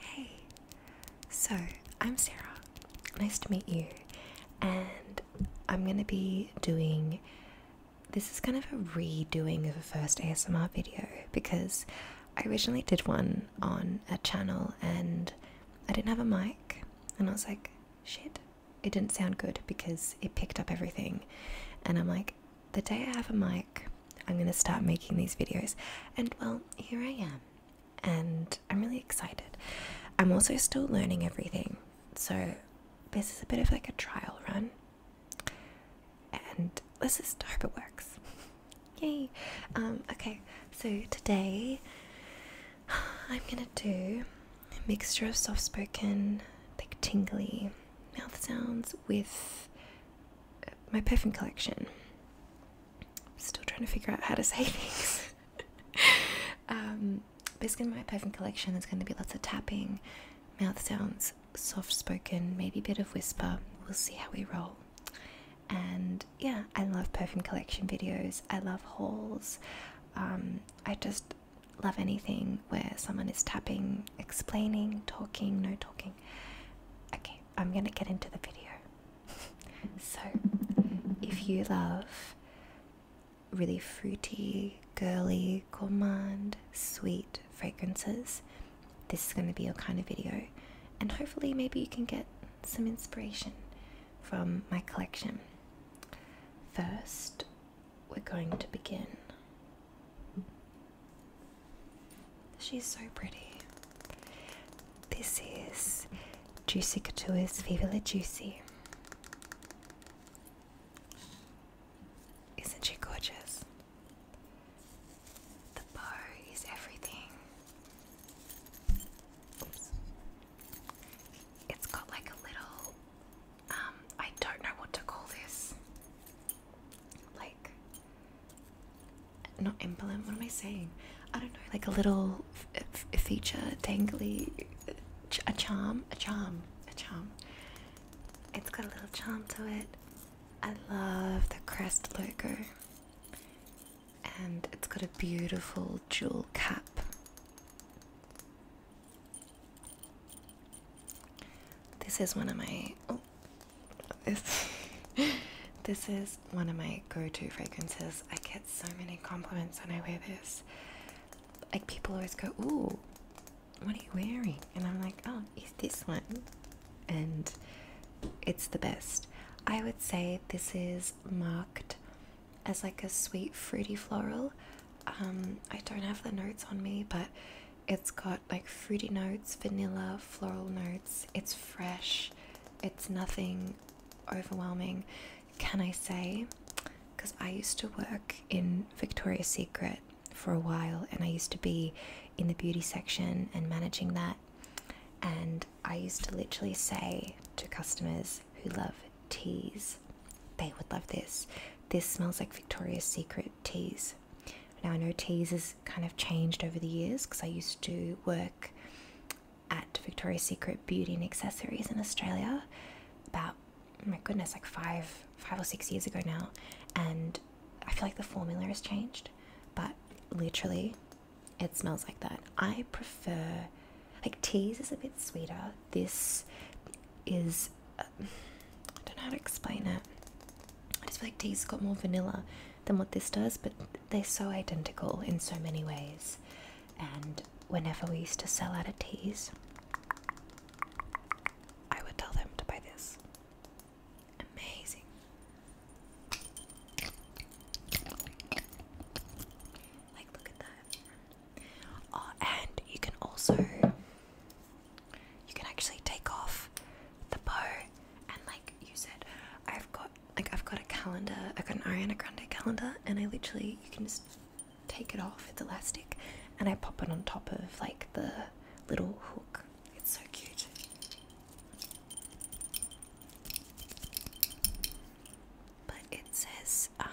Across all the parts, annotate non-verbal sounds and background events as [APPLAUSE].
Hey, so I'm Sarah. Nice to meet you. And I'm going to be doing this is kind of a redoing of a first ASMR video because I originally did one on a channel and I didn't have a mic and I was like, shit, it didn't sound good because it picked up everything. And I'm like, the day I have a mic, I'm going to start making these videos. And well, here I am. And I'm really excited. I'm also still learning everything. So this is a bit of like a trial run. And let's just hope it works. [LAUGHS] Yay. Um, okay, so today [SIGHS] I'm going to do a mixture of soft spoken, like tingly mouth sounds with my perfume collection. Still trying to figure out how to say [LAUGHS] things. um, basically, my perfume collection there's going to be lots of tapping, mouth sounds, soft spoken, maybe a bit of whisper. We'll see how we roll. And yeah, I love perfume collection videos. I love hauls. Um, I just love anything where someone is tapping, explaining, talking, no talking, Okay, I'm gonna get into the video. [LAUGHS] so, if you love really fruity, girly, gourmand, sweet fragrances, this is gonna be your kind of video, and hopefully, maybe you can get some inspiration from my collection. First, we're going to begin She's so pretty. This is Juicy Couture's Viva La Juicy. Isn't she gorgeous? The bow is everything. It's got like a little, um, I don't know what to call this like not implement what am i saying i don't know like a little feature dangly a charm a charm a charm it's got a little charm to it i love the crest logo and it's got a beautiful jewel cap this is one of my oh, [LAUGHS] This, this is one of my go-to fragrances. I get so many compliments when I wear this. Like people always go, "Oh, what are you wearing?" And I'm like, "Oh, it's this one," and it's the best. I would say this is marked as like a sweet fruity floral. Um, I don't have the notes on me, but it's got like fruity notes, vanilla, floral notes. It's fresh. It's nothing overwhelming, can I say? Because I used to work in Victoria's Secret for a while and I used to be in the beauty section and managing that. And I used to literally say to customers who love teas, they would love this. This smells like Victoria's Secret teas. Now I know teas has kind of changed over the years because I used to work at Victoria's Secret Beauty and Accessories in Australia about my goodness like five five or six years ago now and I feel like the formula has changed but literally it smells like that. I prefer like teas is a bit sweeter. This is I don't know how to explain it. I just feel like tea's got more vanilla than what this does, but they're so identical in so many ways. And whenever we used to sell out of teas, I would tell them to buy this. Amazing. Like, look at that. Oh, and you can also you can actually take off the bow and like use it. I've got like I've got a calendar. I've got an Ariana Grande calendar, and I literally you can just take it off with elastic, and I pop it on top of like the little hook. It's so cute. But it says um,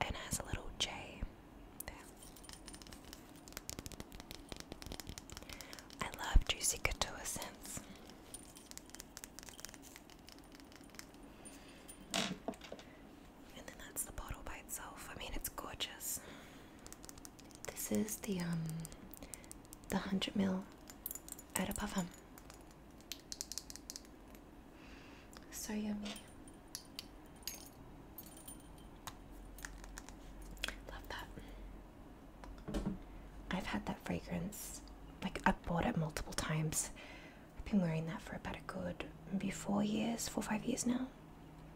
and has a little J there. I love juicy couture scents. And then that's the bottle by itself. I mean, it's gorgeous. This is the um the 100 mil eau de parfum. So yummy. Love that. I've had that fragrance. Like i bought it multiple times. I've been wearing that for about a good maybe four years, four five years now.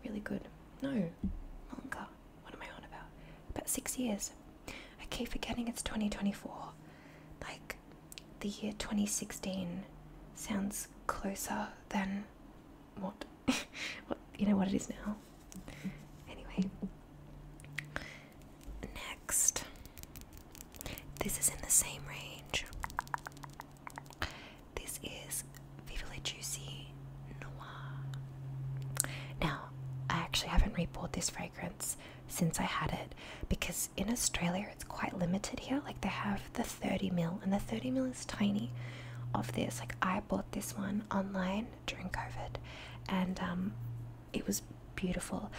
Really good. No, longer. What am I on about? About six years. I keep forgetting it's 2024. Like the year 2016 sounds closer than what [LAUGHS] what you know what it is now. Anyway. Next. This is in the same range. This is Vivile Juicy Noir. Now, I actually haven't rebought this fragrance since I had it because in Australia it's quite limited here. Like they have the 30ml, and the 30ml tiny, of this. Like I bought this one online during COVID, and um, it was beautiful.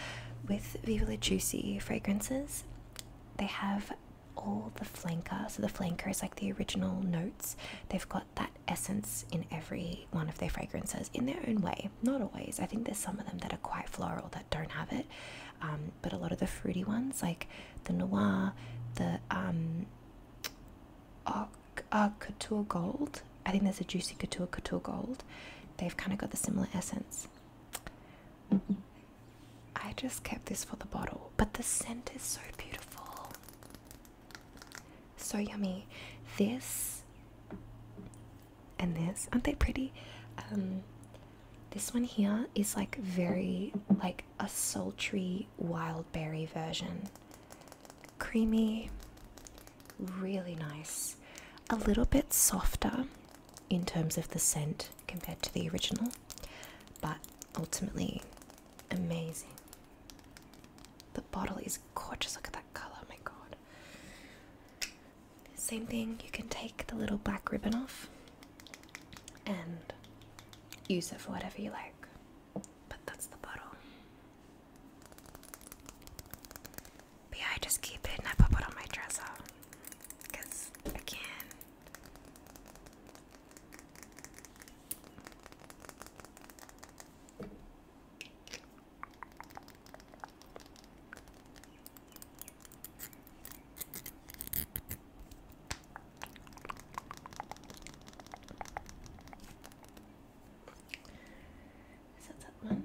With Viva La Juicy fragrances, they have all the flanker. So the flanker is like the original notes. They've got that essence in every one of their fragrances in their own way. Not always. I think there's some of them that are quite floral that don't have it, um, but a lot of the fruity ones, like the noir, the um, couture gold. I think there's a juicy couture couture gold. They've kind of got the similar essence. I just kept this for the bottle, but the scent is so beautiful, so yummy. This and this aren't they pretty? Um, this one here is like very like a sultry wild berry version. Creamy, really nice. A little bit softer in terms of the scent compared to the original, but ultimately amazing. The bottle is gorgeous. Look at that color, oh my god. Same thing, you can take the little black ribbon off and use it for whatever you like. But that's the bottle. But I just keep it and I pop it on my dresser. Because, again, is that one?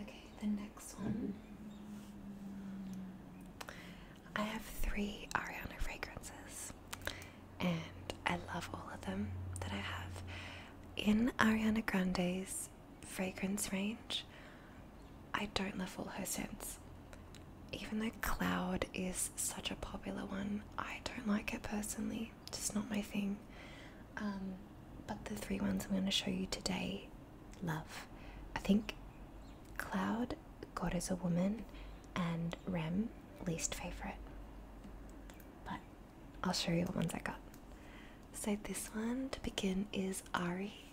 Okay, the next one. I have three Ariana fragrances, and I love all of them that I have. In Ariana Grande's fragrance range, I don't love all her scents. Even though Cloud is such a popular one, I don't like it personally. It's just not my thing. Um, but the three ones I'm going to show you today, love. I think Cloud, God is a Woman, and Rem, least favourite. But I'll show you what ones I got. So, this one to begin is Ari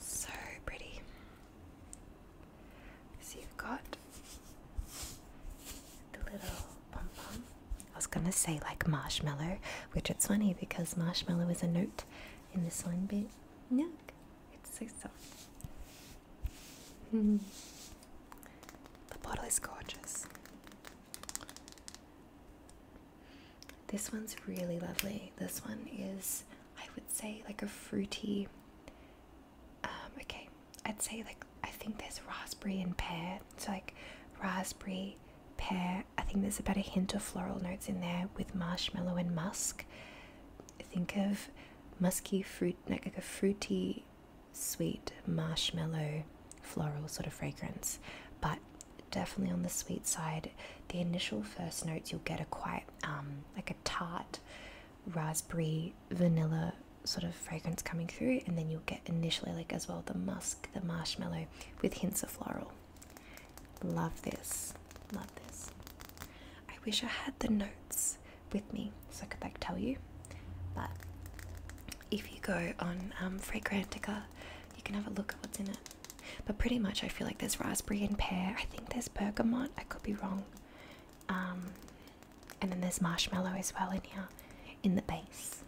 so pretty. So you've got the little pom pom. I was gonna say like marshmallow, which it's funny because marshmallow is a note in the one, but no, it's so soft. Hmm. the bottle is gorgeous. This one's really lovely. This one is, I would say, like a fruity. Um, okay, I'd say like I think there's raspberry and pear. It's so like raspberry, pear. I think there's about a hint of floral notes in there with marshmallow and musk. Think of musky fruit, like a fruity, sweet marshmallow floral sort of fragrance, but definitely on the sweet side. The initial first notes you'll get are quite um, like a tart raspberry vanilla sort of fragrance coming through, and then you'll get initially like as well the musk, the marshmallow with hints of floral. Love this, love this. I wish I had the notes with me so I could like tell you, but if you go on um, Fragrantica, you can have a look at what's in it. But pretty much, I feel like there's raspberry and pear. I think there's bergamot. I could be wrong. Um, and then there's marshmallow as well in here, in the base.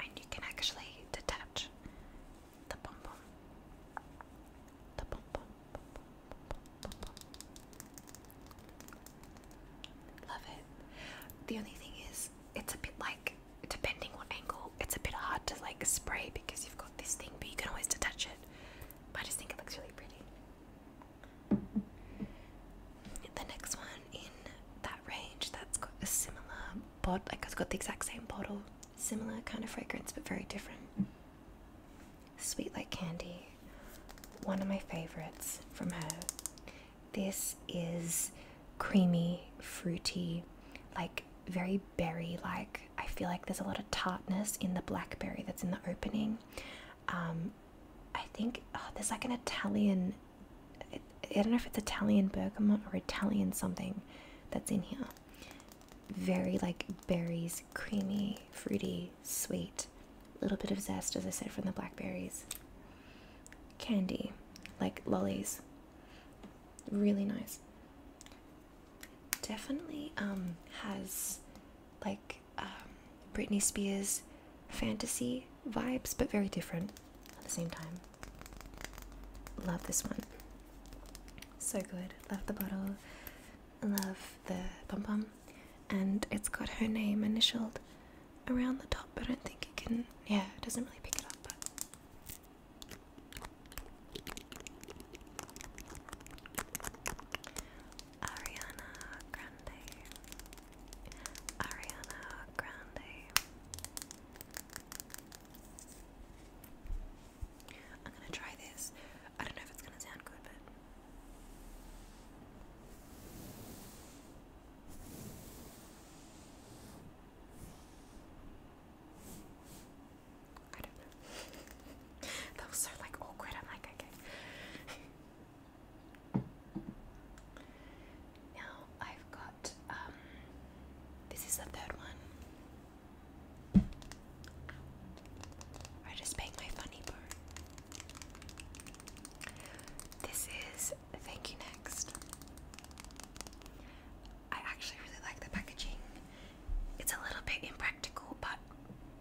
And you can actually detach the pom, pom. Love it. The only thing is, it's a bit like, depending what angle, it's a bit hard to like spray because you've got this thing, but you can always detach it. I just think it looks really pretty. The next one in that range that's got a similar bottle, like it's got the exact same bottle, similar kind of fragrance, but very different. Sweet Like Candy, one of my favorites from her. This is creamy, fruity, like very berry like. I feel like there's a lot of tartness in the blackberry that's in the opening. Um, I think oh, there's like an Italian, I don't know if it's Italian bergamot or Italian something that's in here. Very like berries, creamy, fruity, sweet. A little bit of zest, as I said, from the blackberries candy, like lollies. Really nice. Definitely um, has like um, Britney Spears fantasy vibes, but very different at the same time. Love this one. So good. Love the bottle. Love the pom pom. And it's got her name initialed around the top, but I don't think it can. Yeah, it doesn't really pick it up. But Ariana Grande, Ariana Grande. I'm gonna try this. I don't know if it's gonna sound good, but I don't know. [LAUGHS] Those are like awkward. I'm like, okay. [LAUGHS] now I've got um this is the third one. I just banged my funny bone. This is Thank You Next. I actually really like the packaging. It's a little bit impractical, but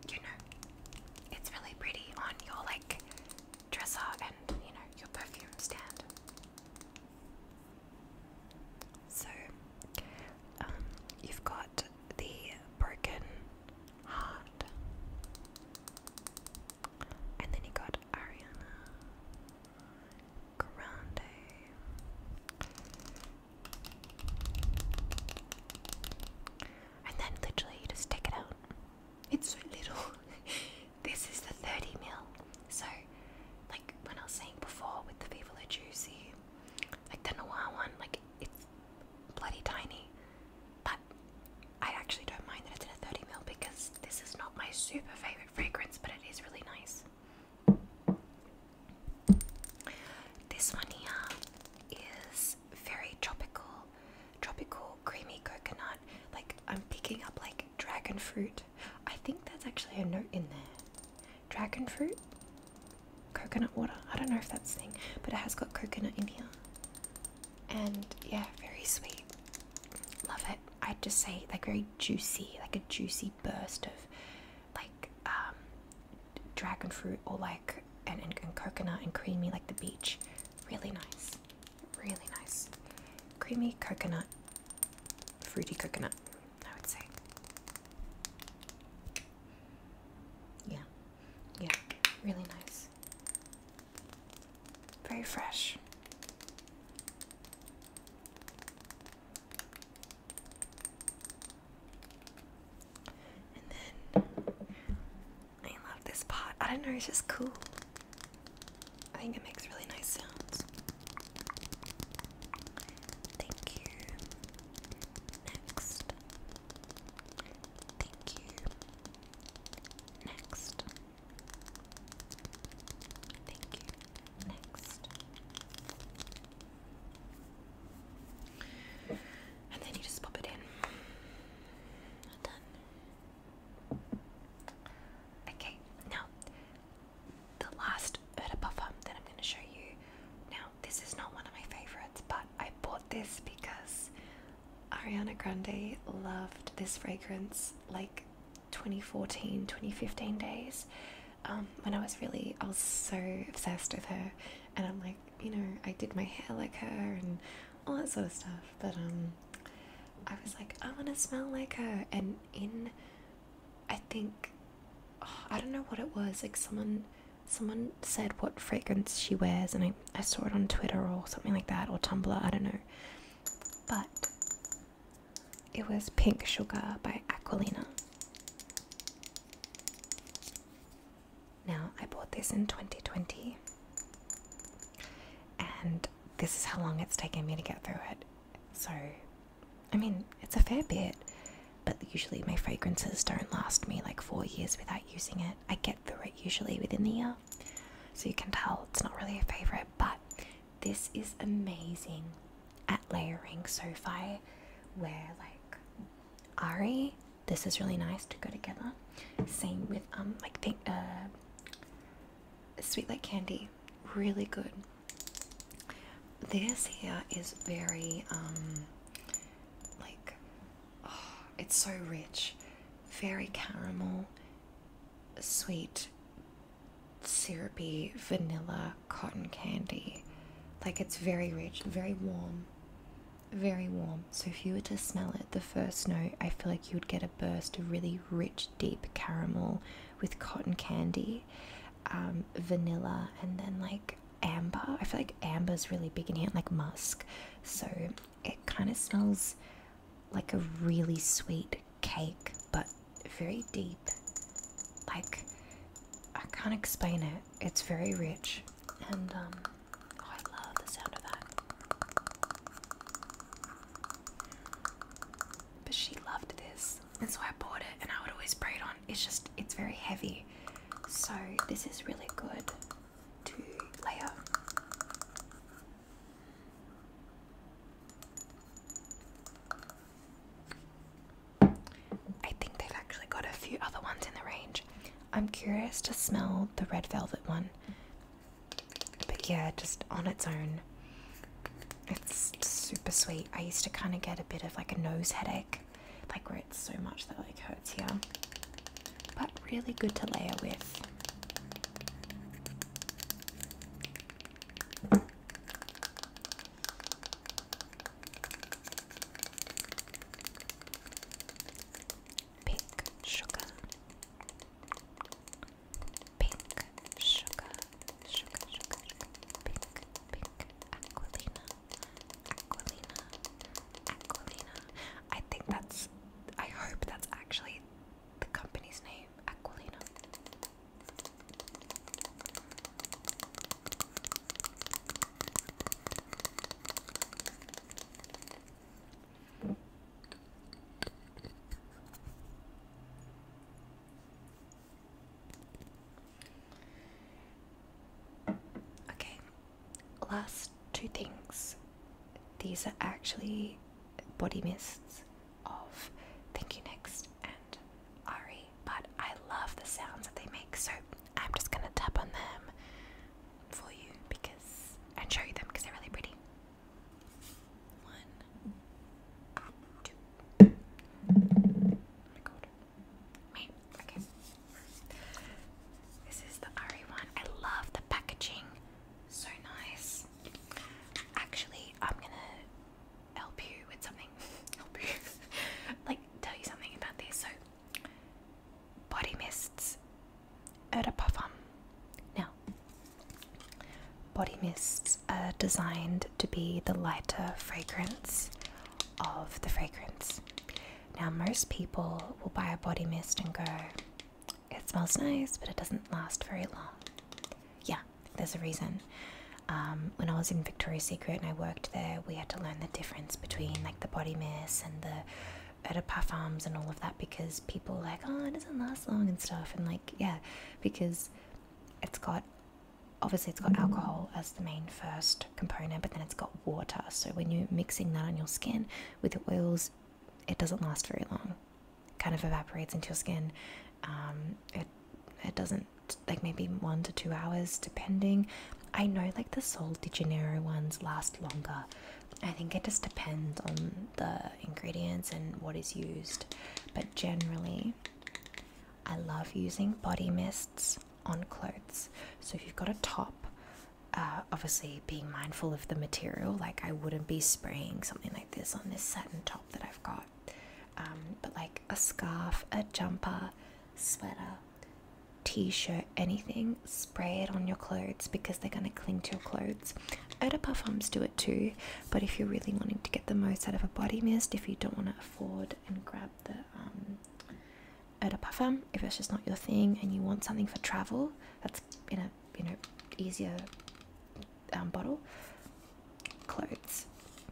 you know, it's really pretty on your like dresser and you know, your perfume stand. So, um, you've got the broken Hard. And then he got Ariana Grande. And then literally you just take it out. It's so little. [LAUGHS] this is the 30 mil. So, like when I was saying before with the Viva La Juicy, like the Noir one, like it's bloody tiny. But I actually don't mind that it's in a 30 ml because this is not my super favorite fragrance, but it is really nice. This one here is very tropical, tropical creamy coconut. Like I'm picking up like dragon fruit. I think that's actually a note in there. Dragon fruit, coconut water. I don't know if that's thing, but it has got coconut in here and yeah, very sweet. Love it. I'd just say like very juicy, like a juicy burst of like um, dragon fruit or like and, and, and coconut and creamy like the beach. Really nice, really nice. Creamy coconut, fruity coconut. I would say. Yeah, yeah, really nice. Very fresh. And then I love this pot. I don't know, it's just cool. I think it makes really nice sounds. Thank you. Next. Thank you. Next. Thank you. Next. And then you just pop it in. Done. Okay, now the last Urda puffer that I'm going to show you. Now, this is not one of my favorites, but I bought this because Ariana Grande loved this fragrance like 2014 2015 days um, when I was really I was so obsessed with her and I'm like you know I did my hair like her and all that sort of stuff but um, I was like I want to smell like her and in I think oh, I don't know what it was like someone someone said what fragrance she wears, and I, I saw it on Twitter or something like that, or Tumblr, I don't know. But it was Pink Sugar by Aquilina. Now, I bought this in 2020, and this is how long it's taken me to get through it. So, I mean, it's a fair bit, but usually my fragrances don't last me like four years without using it. I get through it usually within the year, so you can tell it's not really a favorite. But this is amazing at layering. So if I wear like Ari, this is really nice to go together. Same with um like think uh sweet like candy, really good. This here is very um like Oh, it's so rich, very caramel, sweet, syrupy, vanilla, cotton candy. Like it's very rich, very warm, very warm. So if you were to smell it, the first note, I feel like you would get a burst of really rich, deep caramel with cotton candy, um, vanilla, and then like amber. I feel like amber is really big in here, like musk. So it kind of smells like a really sweet cake, but very deep. Like, I can't explain it. It's very rich. And, um, oh, I love the sound of that. But she loved this. And so I bought it and I would always spray it on. It's just, it's very heavy. So this is really good to layer. I think they've actually got a few other ones in the range. I'm curious to smell the red velvet one. But yeah, just on its own. It's super sweet. I used to kind of get a bit of like a nose headache like where it's so much that like hurts here. But really good to layer with. Pink sugar, pink sugar, sugar, sugar, pink, pink, aquilina, Aquilina, Aquilina. I think that's. I hope that's actually the company's name, Aquilina. Okay, last two things these are actually body mists of Thank You Next and Ari, but I love the sounds that they make, so I'm just gonna tap on them for you because and show you them because they're really pretty. One, two. Oh Maybe. Okay. This is the Ari one. I love the packaging. So nice. Actually, I'm gonna help you with something. [LAUGHS] help you. [LAUGHS] like, tell you something about this. So, body mists. Eau Now, body mists are designed to be the lighter fragrance of the fragrance. Now, most people will buy a body mist and go, it smells nice, but it doesn't last very long. Yeah, there's a reason. Um, when I was in Victoria's Secret and I worked there, we had to learn the difference between like the body mist and the eau de parfums and all of that because people like, oh, it doesn't last long and stuff. And like, yeah, because it's got obviously it's got alcohol as the main first component, but then it's got water. So when you're mixing that on your skin with the oils, it doesn't last very long. kind of evaporates into your skin. Um, it it doesn't like maybe one to two hours depending. I know like the Sol de Janeiro ones last longer. I think it just depends on the ingredients and what is used, but generally, I love using body mists on clothes. So if you've got a top, uh, obviously being mindful of the material, like I wouldn't be spraying something like this on this satin top that I've got. Um, but like a scarf, a jumper, sweater, t shirt, anything, spray it on your clothes because they're going to cling to your clothes. Eau de parfums do it too, but if you're really wanting to get the most out of a body mist, if you don't want to afford and grab the um, at a parfum if it's just not your thing and you want something for travel that's in a you know easier um, bottle clothes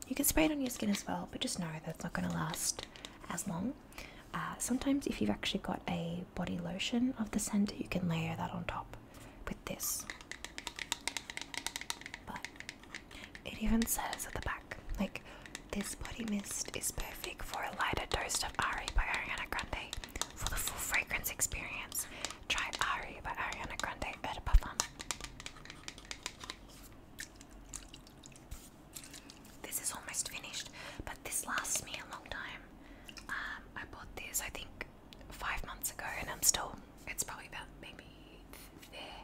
you can spray it on your skin as well but just know that's not going to last as long uh, sometimes if you've actually got a body lotion of the scent you can layer that on top with this but it even says at the back like this body mist is perfect for a lighter dose of Ari by Ariana Grande. For the full fragrance experience, try Ari by Ariana Grande Eau de This is almost finished, but this lasts me a long time. Um, I bought this, I think, five months ago, and I'm still, it's probably about maybe there.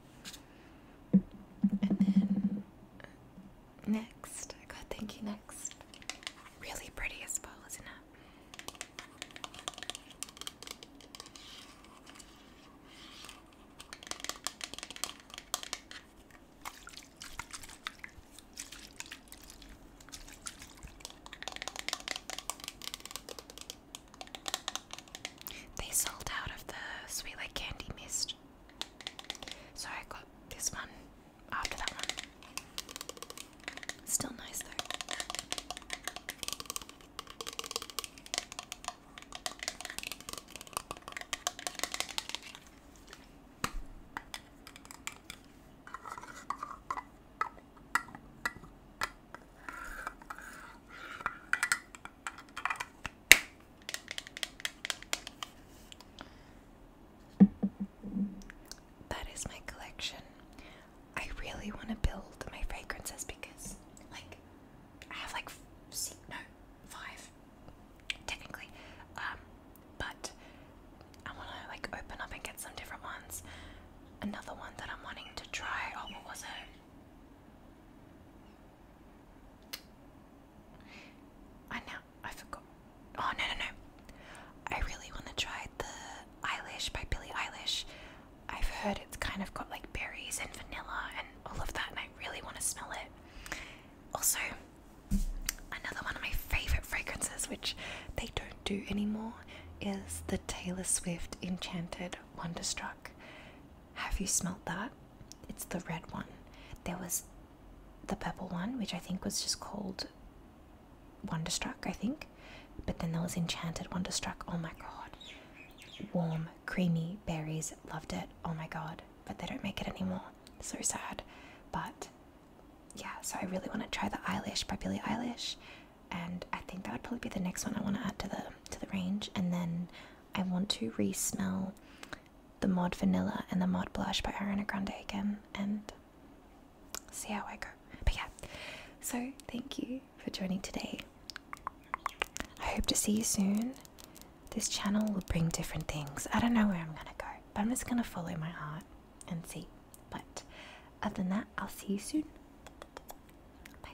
And then next, I got thank you next. Really pretty as well, isn't it? They sold out of the Sweet Like Candy Mist. So I got this one after that one. Still nice though. That is my collection. I really want to build my fragrances because, like, I have like see, no five, technically. Um, but I want to like open up and get some different ones. Another one that I'm wanting to try. Oh, what was it? I now I forgot. Oh no no no! I really want to try the Eilish by Billie Eilish. I've heard it's kind of got like berries and vanilla and all of that, and I really want to smell it. Also, another one of my favorite fragrances, which they don't do anymore, is the Taylor Swift Enchanted Wonderstruck. Have you smelt that? It's the red one. There was the purple one, which I think was just called Wonderstruck, I think. But then there was Enchanted Wonderstruck. Oh my god. Warm, creamy berries. Loved it. Oh my god. But they don't make it anymore. So sad. But yeah, so I really want to try the Eilish by Billie Eilish. And I think that would probably be the next one I want to add to the to the range. And then I want to re-smell the Mod Vanilla and the Mod Blush by Ariana Grande again and see how I go. But yeah, so thank you for joining today. I hope to see you soon. This channel will bring different things. I don't know where I'm gonna go, but I'm just gonna follow my heart and see. But other than that, I'll see you soon. Bye.